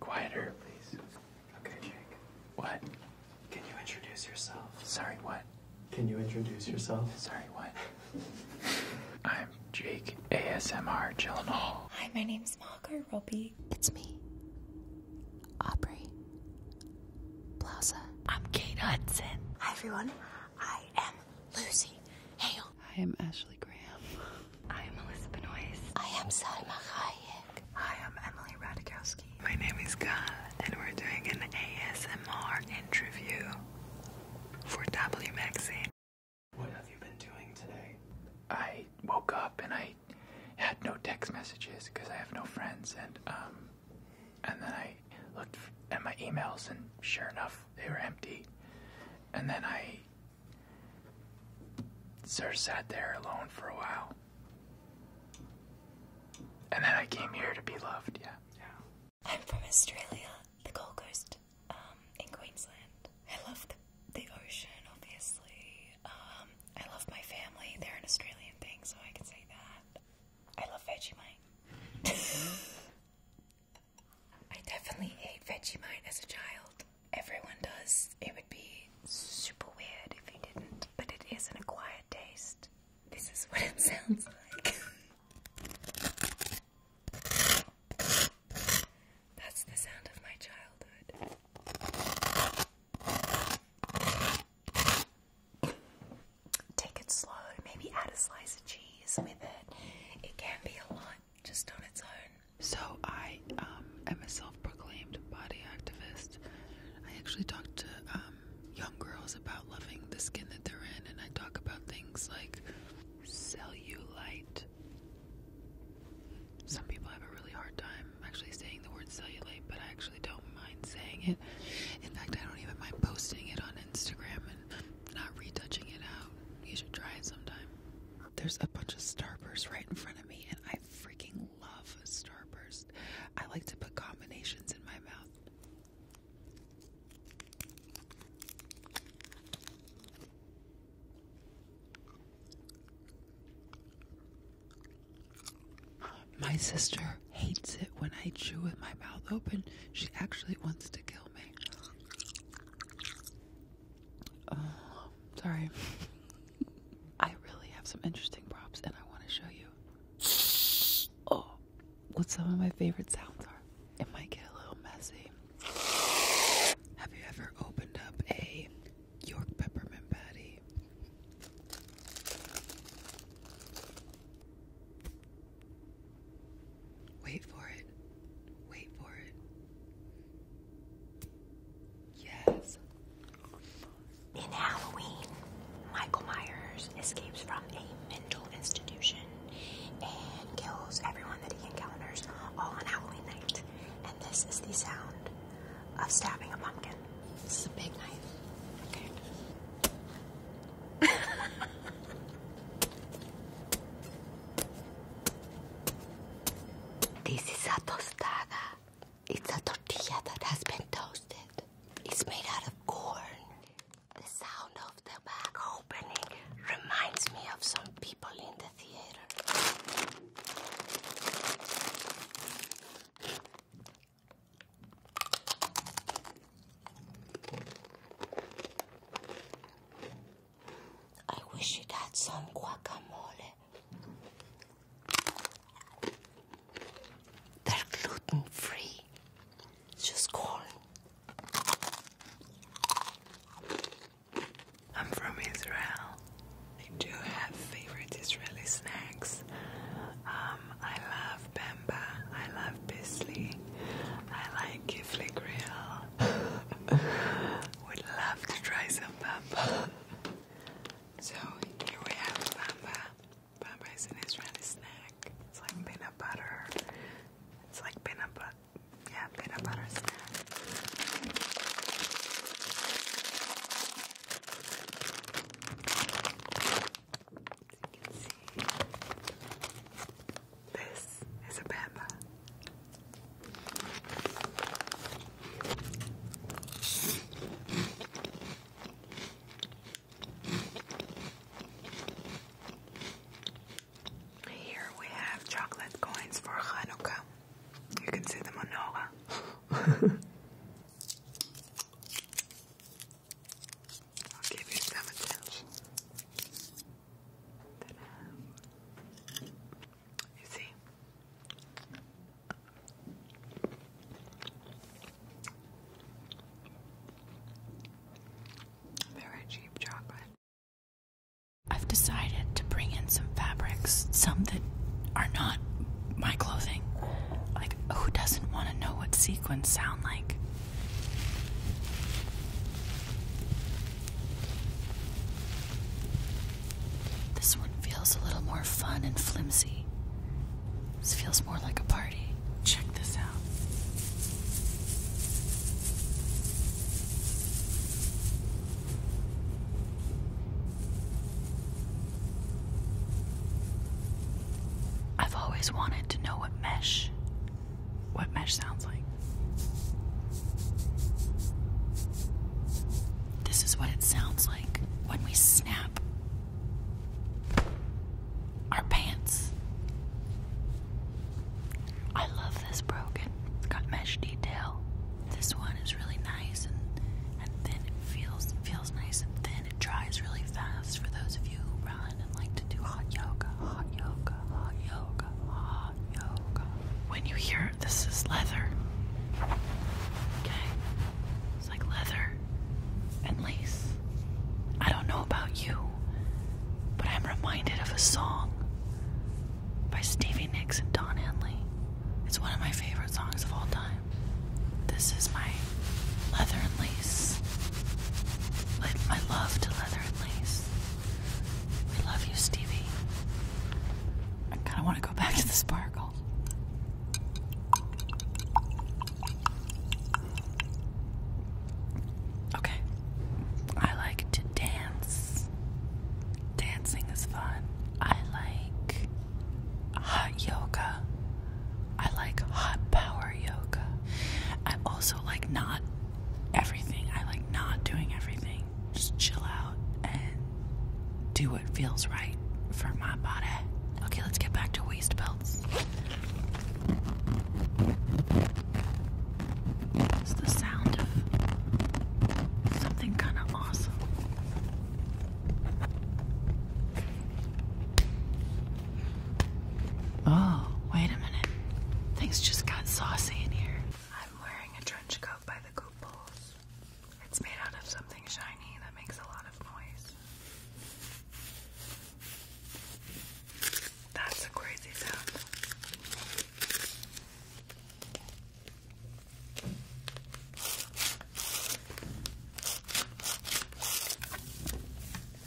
Quieter, please. Okay, Jake. What? Can you introduce yourself? Sorry, what? Can you introduce yourself? Sorry, what? I'm Jake ASMR Gyllenhaal. Hi, my name's Mocker Roby. It's me, Aubrey Plaza. I'm Kate Hudson. Hi, everyone. I am Lucy Hale. I am Ashley Graham. I am Alyssa Benoist. I am Salma Hayek. I'm Emily Radikowski. My name is Gal, and we're doing an ASMR interview for W Magazine. What have you been doing today? I woke up and I had no text messages because I have no friends, and um, and then I looked at my emails, and sure enough, they were empty. And then I Sir sat there alone for a while. And then I came here to be loved, yeah. yeah. I'm from Australia, the Gold Coast, um, in Queensland. I love the, the ocean, obviously. Um, I love my family. They're an Australian thing, so I can say that. I love Vegemite. I definitely ate Vegemite as a child everyone does. It would be super weird if you didn't, but it is an acquired taste. This is what it sounds like. That's the sound of my childhood. Take it slow, maybe add a slice of cheese with it. It can be a lot just on its own. So I um, am a self-proclaimed body activist. I actually talk to um, young girls about loving the skin that they're in, and I talk about things like cellulite. Some people have a really hard time actually saying the word cellulite, but I actually don't mind saying it. In fact, I don't even mind posting it on Instagram and not retouching it out. You should try it sometime. There's a bunch of Starburst right in front of me, and I freaking love Starburst. I like to put combinations in my mouth. My sister hates it when I chew with my mouth open. She actually wants to kill me. sorry. I really have some interesting props and I want to show you oh, what some of my favorite sounds are. It might get a little messy. Have you ever opened up a York peppermint patty? Wait for it. Wait for it. Yes. In Halloween, Michael Myers escapes from a mental institution and kills everyone that he encounters all on Halloween night. And this is the sound of stabbing a pumpkin. This is a big knife. Okay. This is a tostada. It's a tortilla that has been toasted. It's made out of corn. The sound of the bag opening reminds me of some people in the theater. I wish it had some guacamole. They're gluten free. just corn. I'm from Israel. I do have favorite Israeli snacks. Um, I love bamba. I love Bisley. I like kifli grill. Would love to try some bamba. So here we have bamba. Bamba is an Israeli snack. It's like peanut butter. It's like peanut butter. Yeah, peanut butter snack. As you can see, this is a pamper. Here we have chocolate coins for Hanukkah. You can see them on I'll give you some attention. You see? Very cheap chocolate. I've decided to bring in some fabrics, some that are not my clothing. Like, who doesn't want to know what sequins sound like? This one feels a little more fun and flimsy. This feels more like a party. Check this out. I've always wanted to know what mesh what mesh sounds like. This is what it sounds like when we snap our pants. I love this broken. It's got mesh detail. This one is really nice and, and thin. It feels, feels nice and thin. It dries really fast for those of you who run. When you hear this is leather. Okay? It's like leather and lace. I don't know about you, but I'm reminded of a song by Stevie Nicks and Don Henley. It's one of my favorite songs of all time. This is my leather and lace. Like my love to leather friendlies. We love you, Stevie. I kind of want to go back to the sparkle. Okay. I like to dance. Dancing is fun. I like hot yoga. I like hot power yoga. I also like not everything. I like not doing everything. Just chill out and do what feels right for my body. Okay, let's get back to waist belts. It's the sound of something kind of awesome. Oh, wait a minute. Things just got saucy in here. I'm wearing a trench coat by the Gooples. It's made out of something shiny that makes a lot of noise. That's a crazy sound. The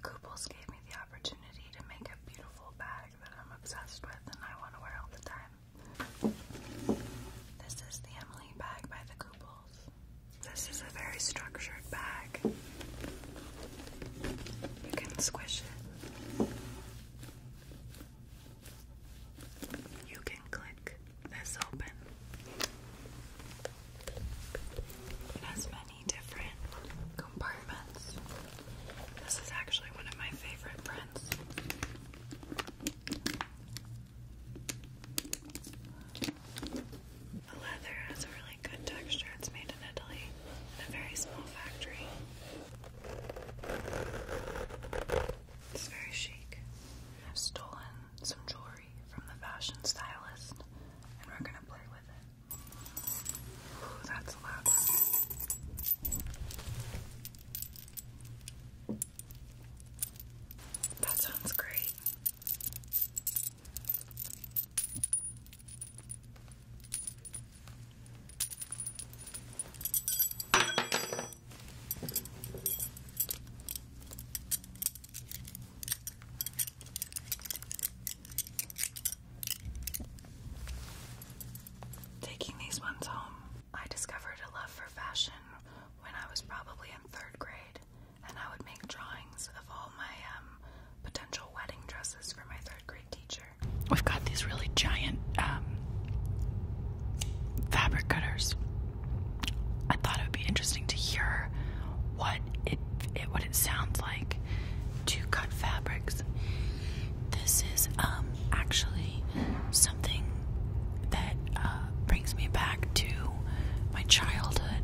Kooples gave me the opportunity to make a beautiful bag that I'm obsessed with and I want to wear all the time. This is the Emily bag by the Kooples. This is a very structured bag. You can squish it. You can click this open. It has many different compartments. This is actually one of my favorite prints. The leather has a really good texture. It's made in Italy in a very small factory. It's very chic. I've stolen some jewelry from the fashion stylist and we're gonna play with it. Ooh, that's a That sounds great. Taking these ones home, I discovered a love for fashion when I was probably in third grade and I would make drawings of all my um, potential wedding dresses for my third grade teacher. We've got these really giant um, fabric cutters. I thought it would be interesting to hear what it, what it sounds like to cut fabrics. This is um, actually something that uh, brings me back to my childhood.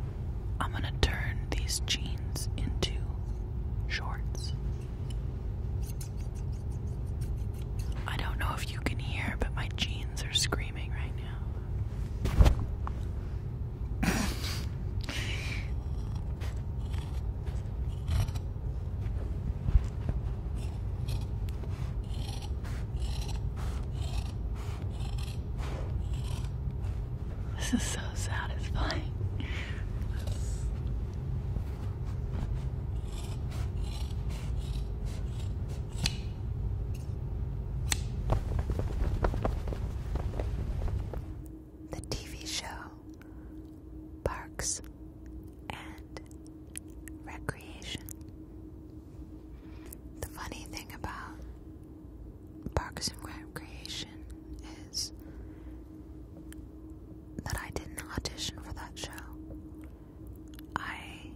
I'm gonna turn these jeans into shorts. I don't know if you can hear, but my jeans are screaming right now. This is so satisfying. The TV show Parks and Recreation. The funny thing about Parks and Recreation is that I didn't audition for that show. I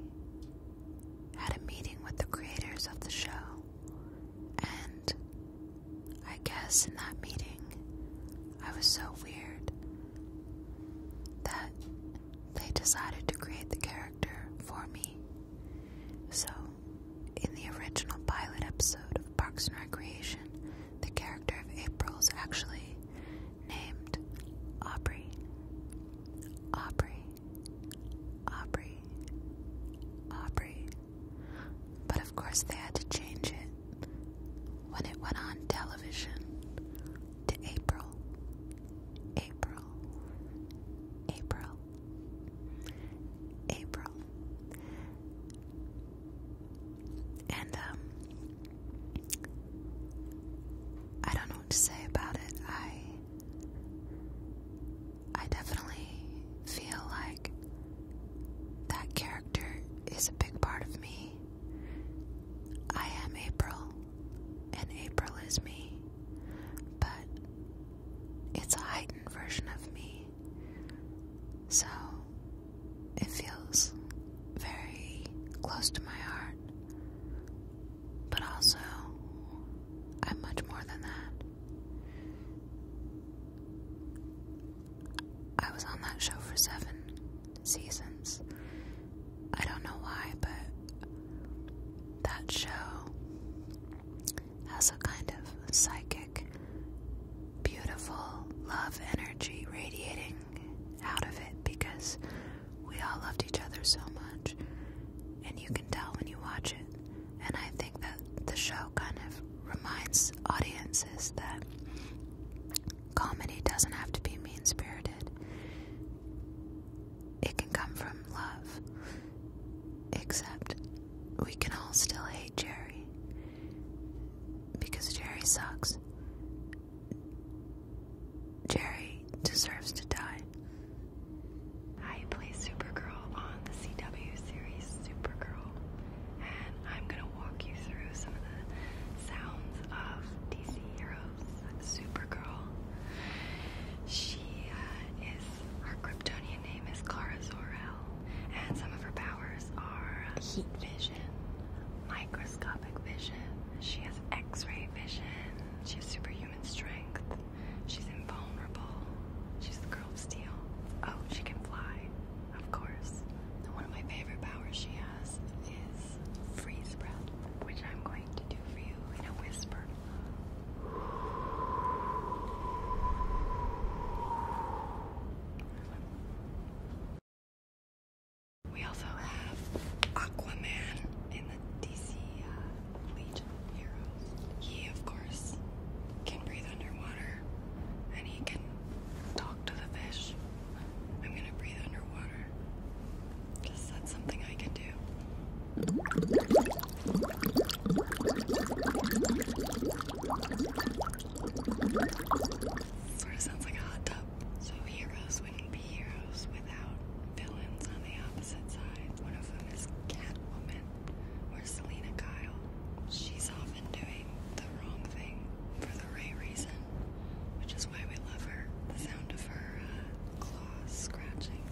had a meeting with the creators of the show, and I guess in that meeting, I was so weird that they decided to create the character for me. So, in the original pilot episode of Parks and Recreation, the character of April is actually named Aubrey. Aubrey. Aubrey. Aubrey. But of course, they had to change it when it went on television to April. April. April. April. And um, I don't know what to say about it. I I definitely feel like that character is a big part of me. I am April and April is me, but it's a heightened version of me. So it feels very close to my heart, but also I'm much more than that. I was on that show for seven seasons, I don't know why, but that show has a kind of psychic, beautiful love energy radiating out of it because we all loved each other so much, and you can tell when you watch it. And I think that the show kind of reminds audiences that comedy doesn't have to be mean spirited. It can come from love. Except we can all still hate Jerry. Because Jerry sucks. Jerry deserves to die. I play Supergirl on the CW series Supergirl, and I'm gonna walk you through some of the sounds of DC heroes. Rose, Supergirl. She uh, is, her Kryptonian name is Kara Zor-El, and some of her powers are heat vision, microscopic vision, she has x-ray vision, she has superhuman strength, she's invulnerable, she's the girl of steel. Oh, she can fly, of course. one of my favorite powers she has is this freeze breath, which I'm going to do for you in a whisper. We also have Aquaman in the DC uh, Legion of Heroes. He, of course, can breathe underwater and he can talk to the fish. I'm gonna breathe underwater. Just that's something I can do. Sort of sounds like a hot tub. So heroes wouldn't be heroes without villains on the opposite side. One of them is Catwoman or Selena Kyle. She's often doing the wrong thing for the right reason, which is why we love her. The sound of her uh, scratching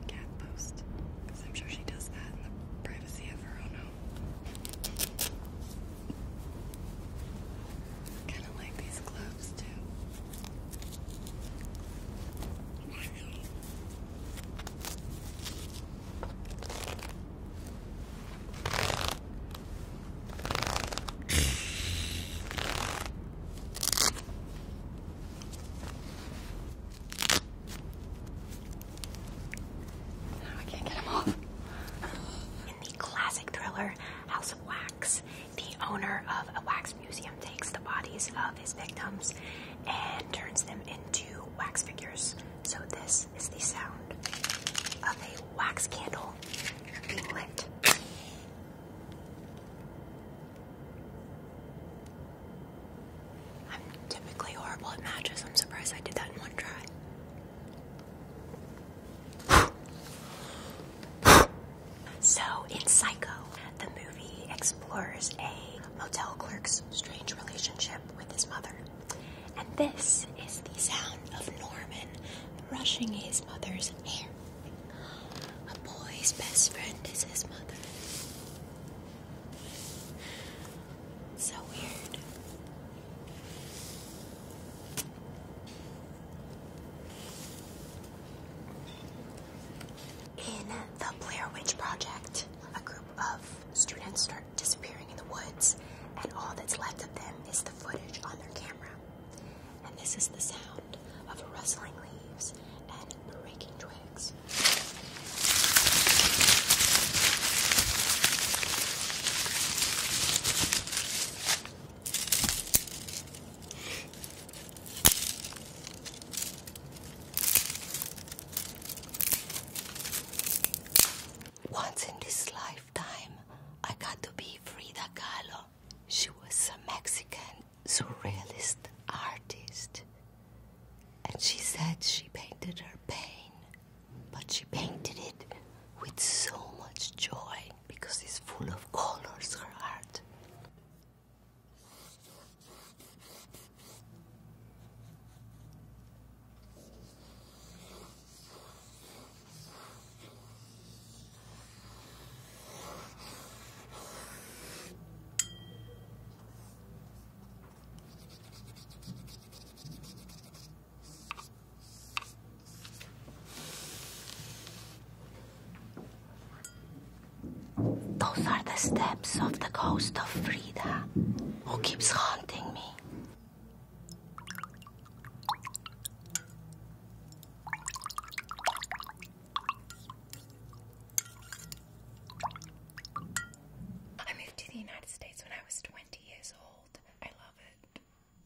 a cat post. Because I'm sure she does that in the privacy of her own home. Kind of like these gloves, too. In the classic thriller House of Wax, the owner of a wax museum takes the bodies of his victims and turns them into wax figures. So, this is the sound of a wax candle being lit. I'm typically horrible at matches. I'm surprised I did that in one try. so, in Psycho, the movie explores a motel clerk's strange relationship with his mother. And this is the sound of Norman brushing his mother's hair. A boy's best friend is his mother. So weird. In the Blair Witch Project, a group of students start disappearing in the woods, and all that's left of them is the footage on their camera and this is the sound of rustling leaves and breaking twigs. Once in this lifetime, I got to be Frida Kahlo. She was a Mexican surrealist artist. And she said she painted her pain, but she painted it with so much joy because it's full of colors, her art. Those are the steps of the ghost of Frida, who keeps haunting me. I moved to the United States when I was 20 years old. I love it.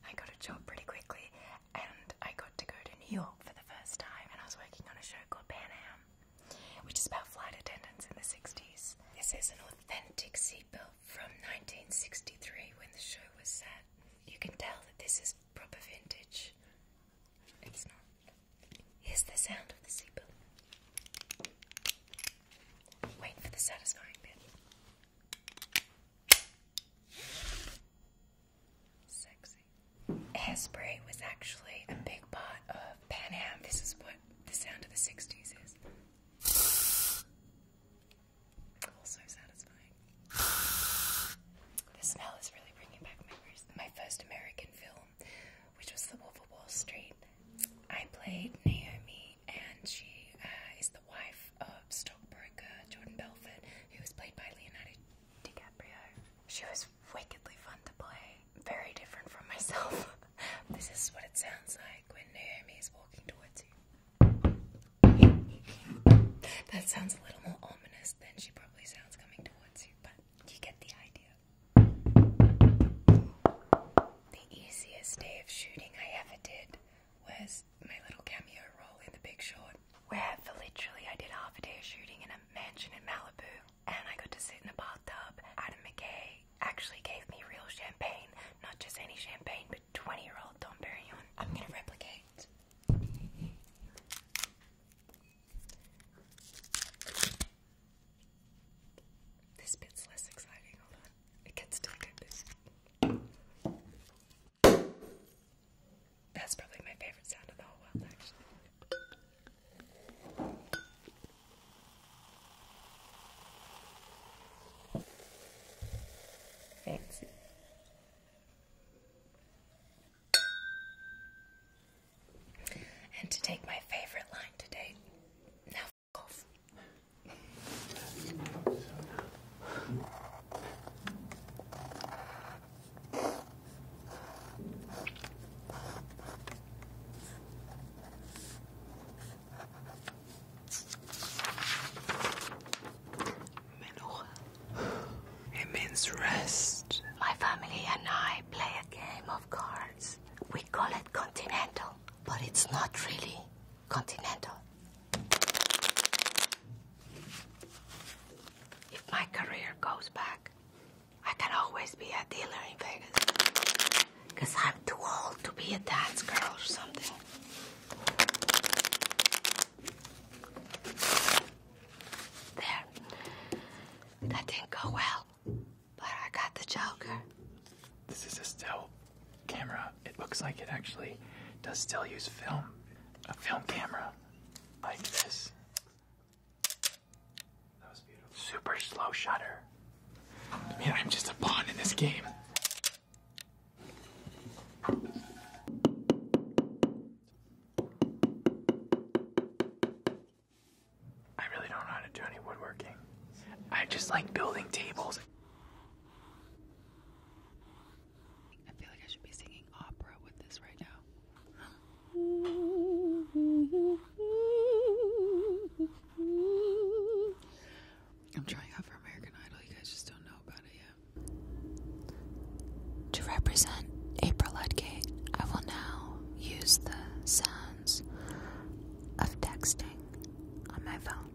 I got a job pretty quickly and I got to go to New York for the first time and I was working on a show called Pan Am, which is about flight attendants in the 60s. This is an authentic seatbelt from 1963 when the show was set you can tell that this is proper vintage. It's not. Here's the sound of the seatbelt. Wait for the satisfying bit. Sexy. Hairspray was actually a big part of Pan Am. This is what the sound of the 60s is. Also oh, satisfying. The smell is really bringing back memories. My first American film, which was The Wolf of Wall Street, I played Naomi, and she uh, is the wife of stockbroker Jordan Belfort, who was played by Leonardo DiCaprio. She was wickedly fun to play, very different from myself. this is what it sounds like when Naomi is walking towards you. That sounds a little more ominous than she probably sounds coming towards you, but you get the idea. The easiest day of shooting I ever did was my little cameo role in The Big Short, where for literally I did half a day of shooting in a mansion in Malibu, and I got to sit in a bathtub. Adam McKay actually gave me real champagne, not just any champagne, 20 year old Dom Perignon. I'm gonna replicate. This bit's less exciting, hold on. It gets still get That's probably my favorite sound of the whole world, actually. Fancy. And to take my favorite line today, now off. It means rest. My family and I play a game of cards. We call it continental, but it's not really continental. If my career goes back, I can always be a dealer in Vegas. Because I'm too old to be a dance girl or something. There. That didn't go well, but I got the Joker. This is a still camera. It looks like it actually does still use film. A film camera like this. That was beautiful. Super slow shutter. I mean, I'm just a pawn in this game. I really don't know how to do any woodworking. I just like building tables. I feel like I should be singing opera with this right now. I'm trying out for American Idol. You guys just don't know about it yet. To represent April Ludgate, I will now use the sounds of texting on my phone,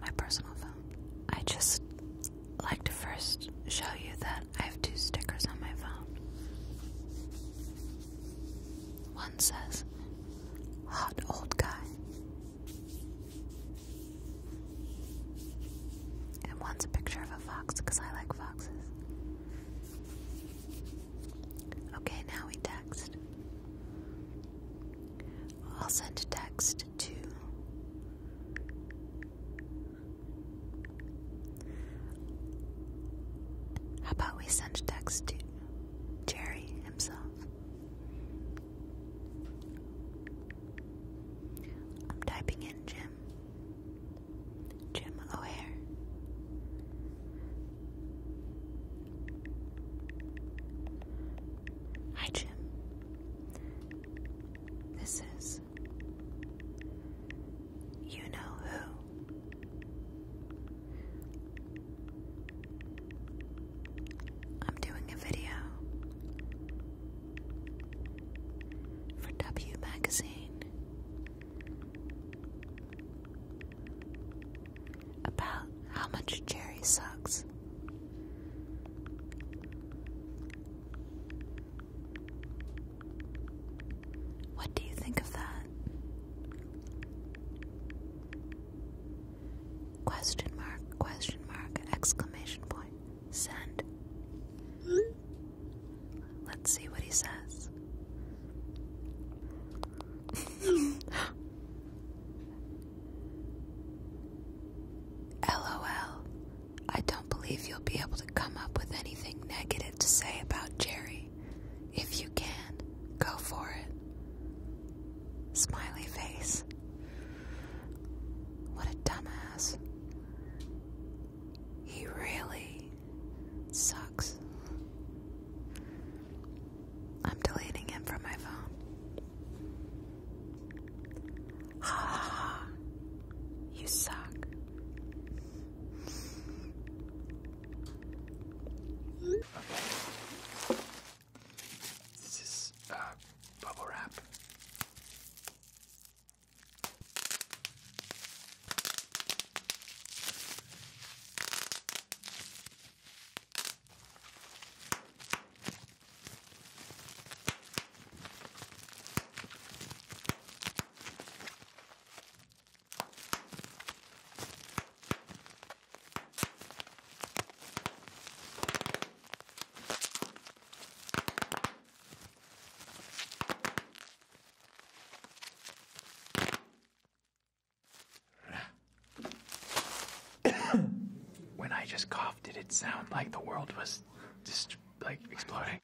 my personal phone. I just like to first show you that I have two stickers on my phone. One says hot old guy. And one's a picture of a fox because I like foxes. Okay, now we text. I'll send a text to. How about we send a text to Jerry himself? I'm typing in Jim. Jim O'Hare. Hi, Jim. This is You Know Who. I'm doing a video for W Magazine about how much Jerry sucks. What do you think of that? Question mark, question mark, exclamation point. Send. Let's see what he says. LOL. I don't believe you'll be able to come up with anything negative to say about Jerry. If you can, go for it. Smiley face. What a dumbass. He really sucks. I'm deleting him from my phone. Ha ha ha. You suck. Okay. This is uh, bubble wrap. when I just coughed, did it sound like the world was just like exploding?